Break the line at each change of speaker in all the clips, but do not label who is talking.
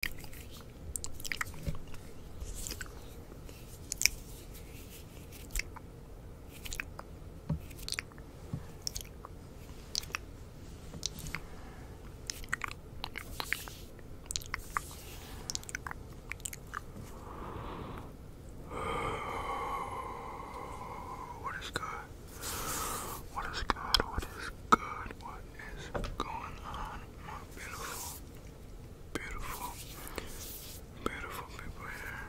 What is good? What is good? What is good? What what is going on, my beautiful, beautiful, beautiful people here?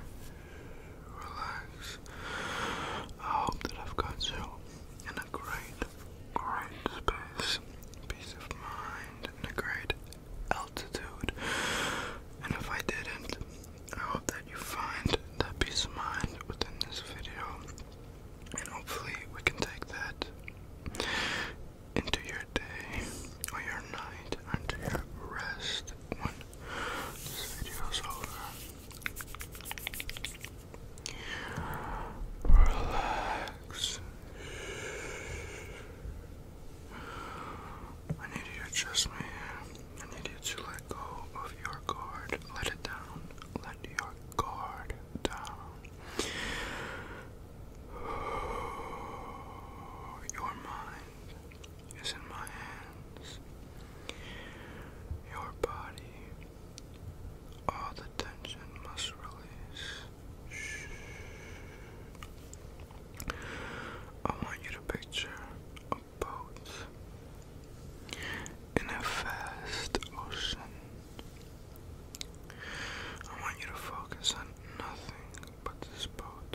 Relax. I hope that I've got you in a great, great space, peace of mind, and a great altitude. And if I didn't, I hope that you find that peace of mind within this video. And hopefully, we can take that into your day or your night into your rest this video is over. Relax. I need you to trust me. I need you to let go of your guard. Let it down. Let your guard down. Uh, your mind is in my hands. Your body, all the tension must release. I want you to picture a boat in a vast ocean. I want you to focus on nothing but this boat.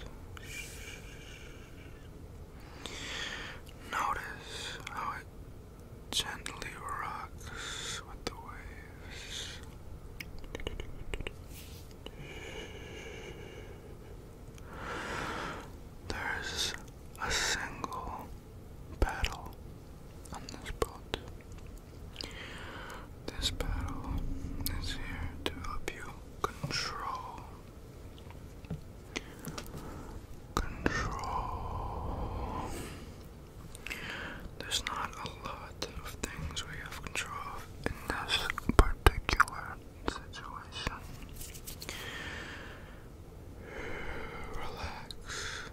Notice how it gently rocks with the waves. There's a single battle on this boat. This battle is here to help you control. Control. There's not a lot of things we have control of in this particular situation relax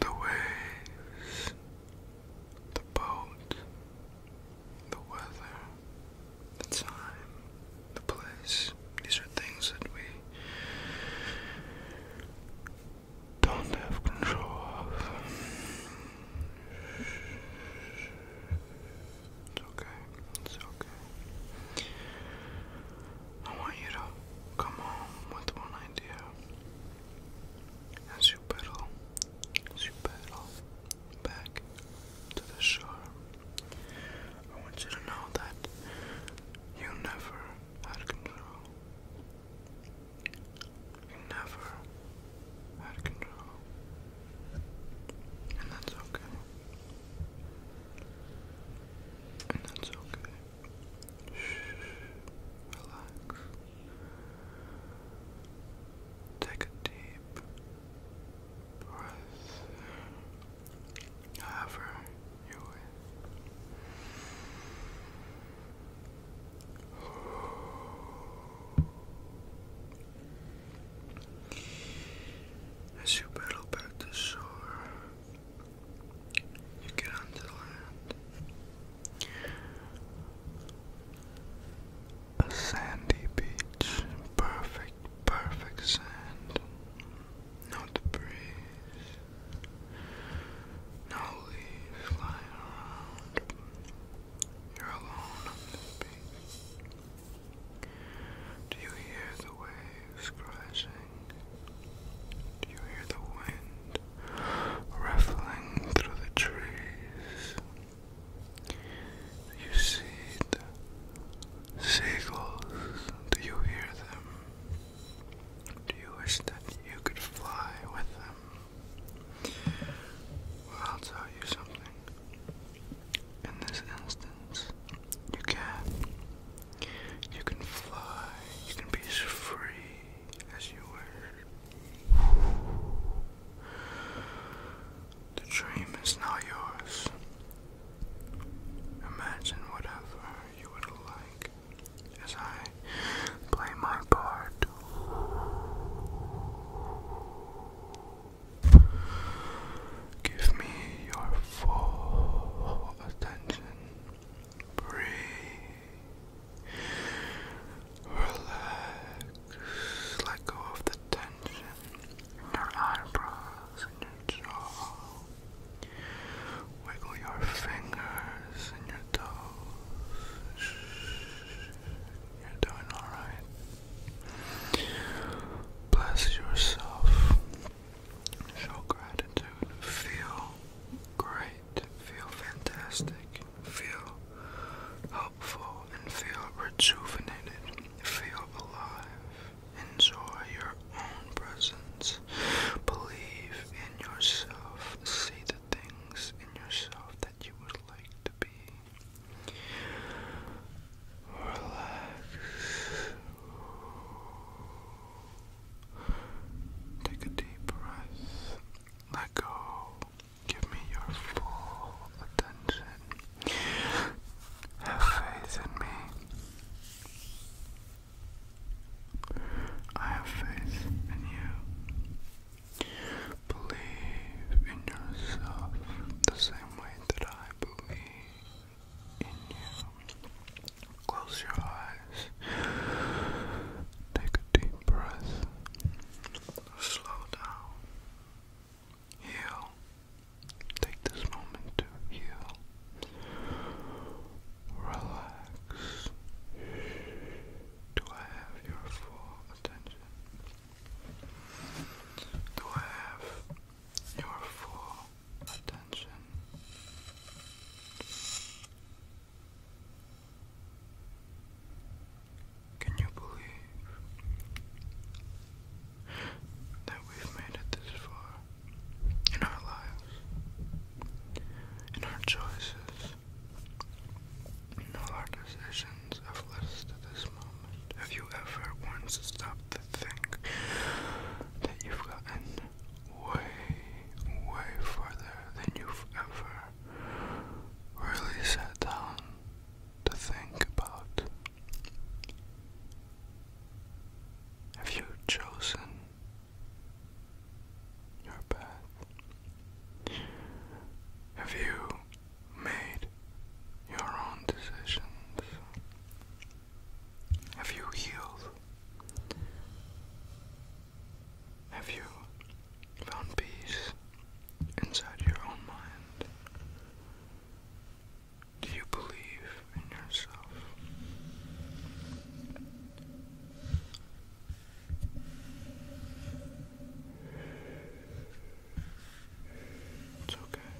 the waves, the boat, the weather, the time, the place. These are things that we don't have control of. It's okay. It's okay. I want you to come home with one idea. As you pedal, as you pedal back to the shore, I want you to know that you never had control. You never had control. And that's okay. And that's okay. Shh, relax. Take a deep breath. However, you wish. As you paddle back to shore, you get onto land. A sandy beach, perfect, perfect sand. No debris, no leaves lying around. You're alone on this beach. Do you hear the waves crashing? Do you hear the wind ruffling through the trees? you see the seagulls? Do you hear them? Do you wish that you could fly with them? I'll tell you something. In this instance, you can. You can fly. You can be as free as you were. The dream is now yours. Imagine whatever you would like as I play my part. Give me your full attention. Breathe. Relax. Let go of the tension in your eyebrows and your jaw. Wiggle your fingers and your toes. You're doing alright. Bless yourself. Show gratitude. Feel great. Feel fantastic. Feel helpful and feel rejuvenated. Feel alive. Enjoy your own presence. Believe in yourself. See the things in yourself that you would like to be. Relax. Take a deep breath. Let go. Give me your full attention. Have faith in me. I have faith in you. Believe in yourself the same way that I believe in you. Close your eyes. Take a deep breath. Slow down. Heal. Take this moment to heal. Relax. Do I have your full attention? to have your full attention. Can you believe that we've made it this far in our lives, in our choices, no our decisions have led us this moment. Have you ever once stopped to think that you've gotten way, way further than you've ever really sat down to think about? Have you chosen your path. Have you made your own decisions? Have you healed? Have you found peace inside your own mind? Do you believe in yourself? It's okay.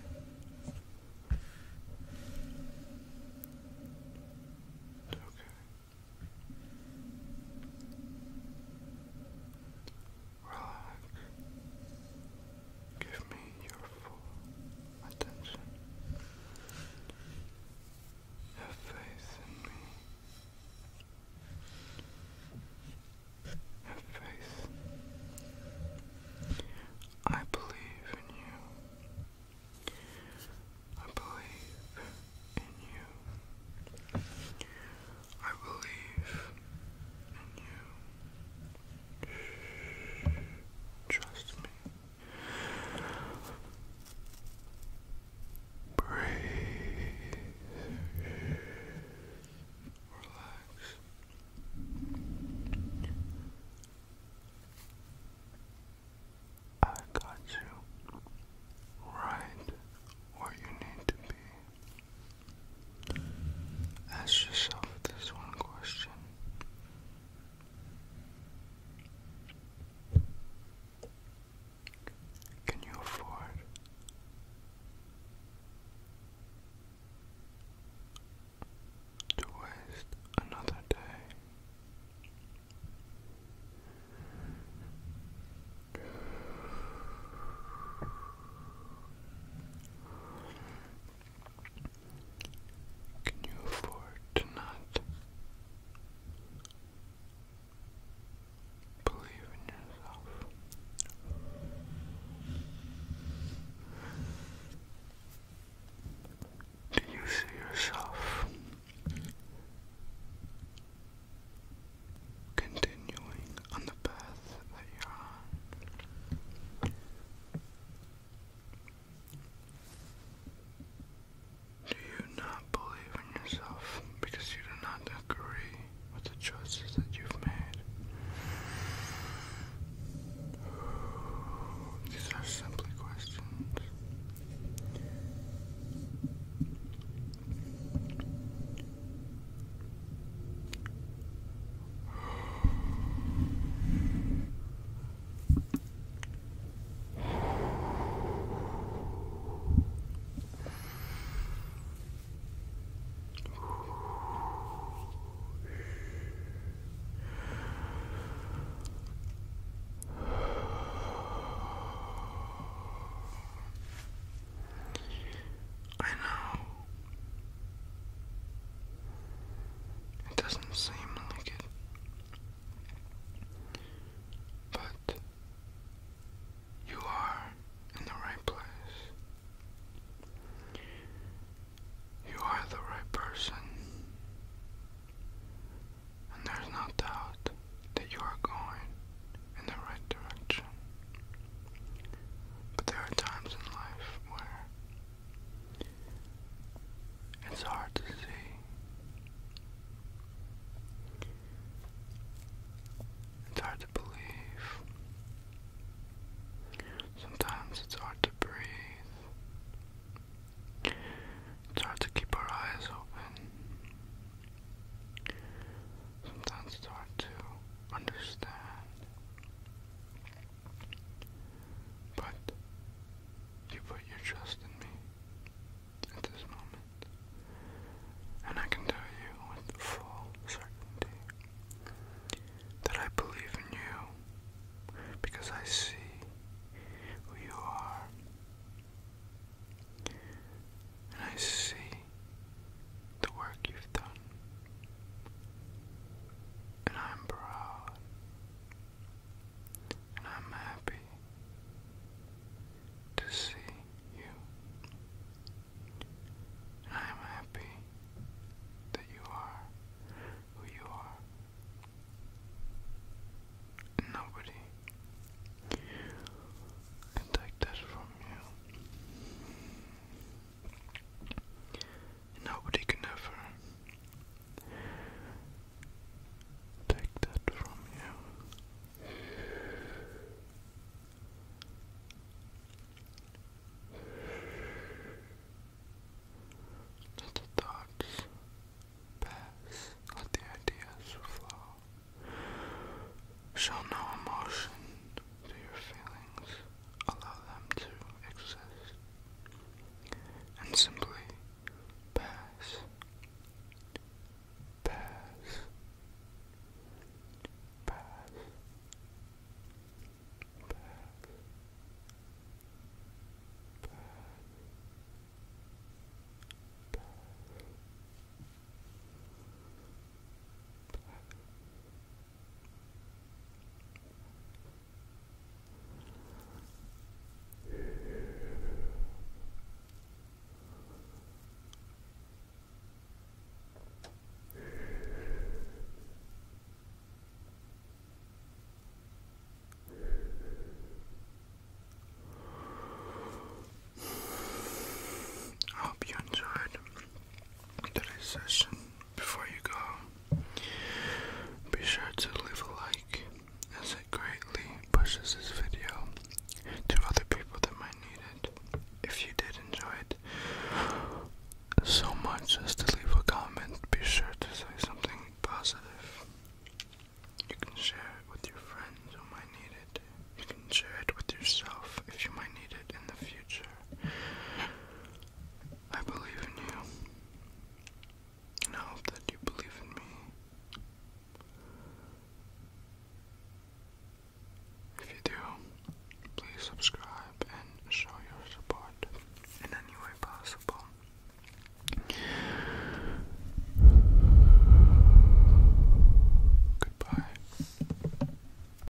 It's okay. Relax. Give me your full attention. Have faith in me. Have faith. I believe in you. I believe in you. I believe in you. Trust me. Breathe. Relax. I got you right where you need to be. Ask yourself this one question. Can you afford to waste another day? Can you afford to not Believe in yourself. Do you see yourself continuing on the path that you're do you not believe in yourself because you do not agree with the choices that you've made? These are simply questions. I know it doesn't seem like it. But you are in the right place. You are the right person. And there's no doubt that you are going in the right direction. But there are times in life where it's hard to see. It's hard to believe. Sometimes it's hard to breathe. It's hard to keep our eyes open. Sometimes it's hard to understand. But you put your trust in me at this moment. And I can tell you with full certainty that I believe in you because I see who you are. And I see the work you've done. And I'm proud and I'm happy to see you. I'm happy that you are who you are. And nobody can take that from you. Nobody can ever take that from you. Let the thoughts pass, let the ideas flow. Show no emotion to your feelings allow them to exist and simply pass, pass, pass, pass. Pass. Pass. I hope you enjoyed today's session. Before you go, be sure to leave a like as it greatly pushes this video to other people that might need it. If you did enjoy it so much as to leave a comment, be sure to say something positive. You can share it with your friends who might need it. You can share it with yourself if you might need it in the future. I believe in you, and I hope that you believe in me. If you do, please subscribe and show your support in any way possible. Goodbye.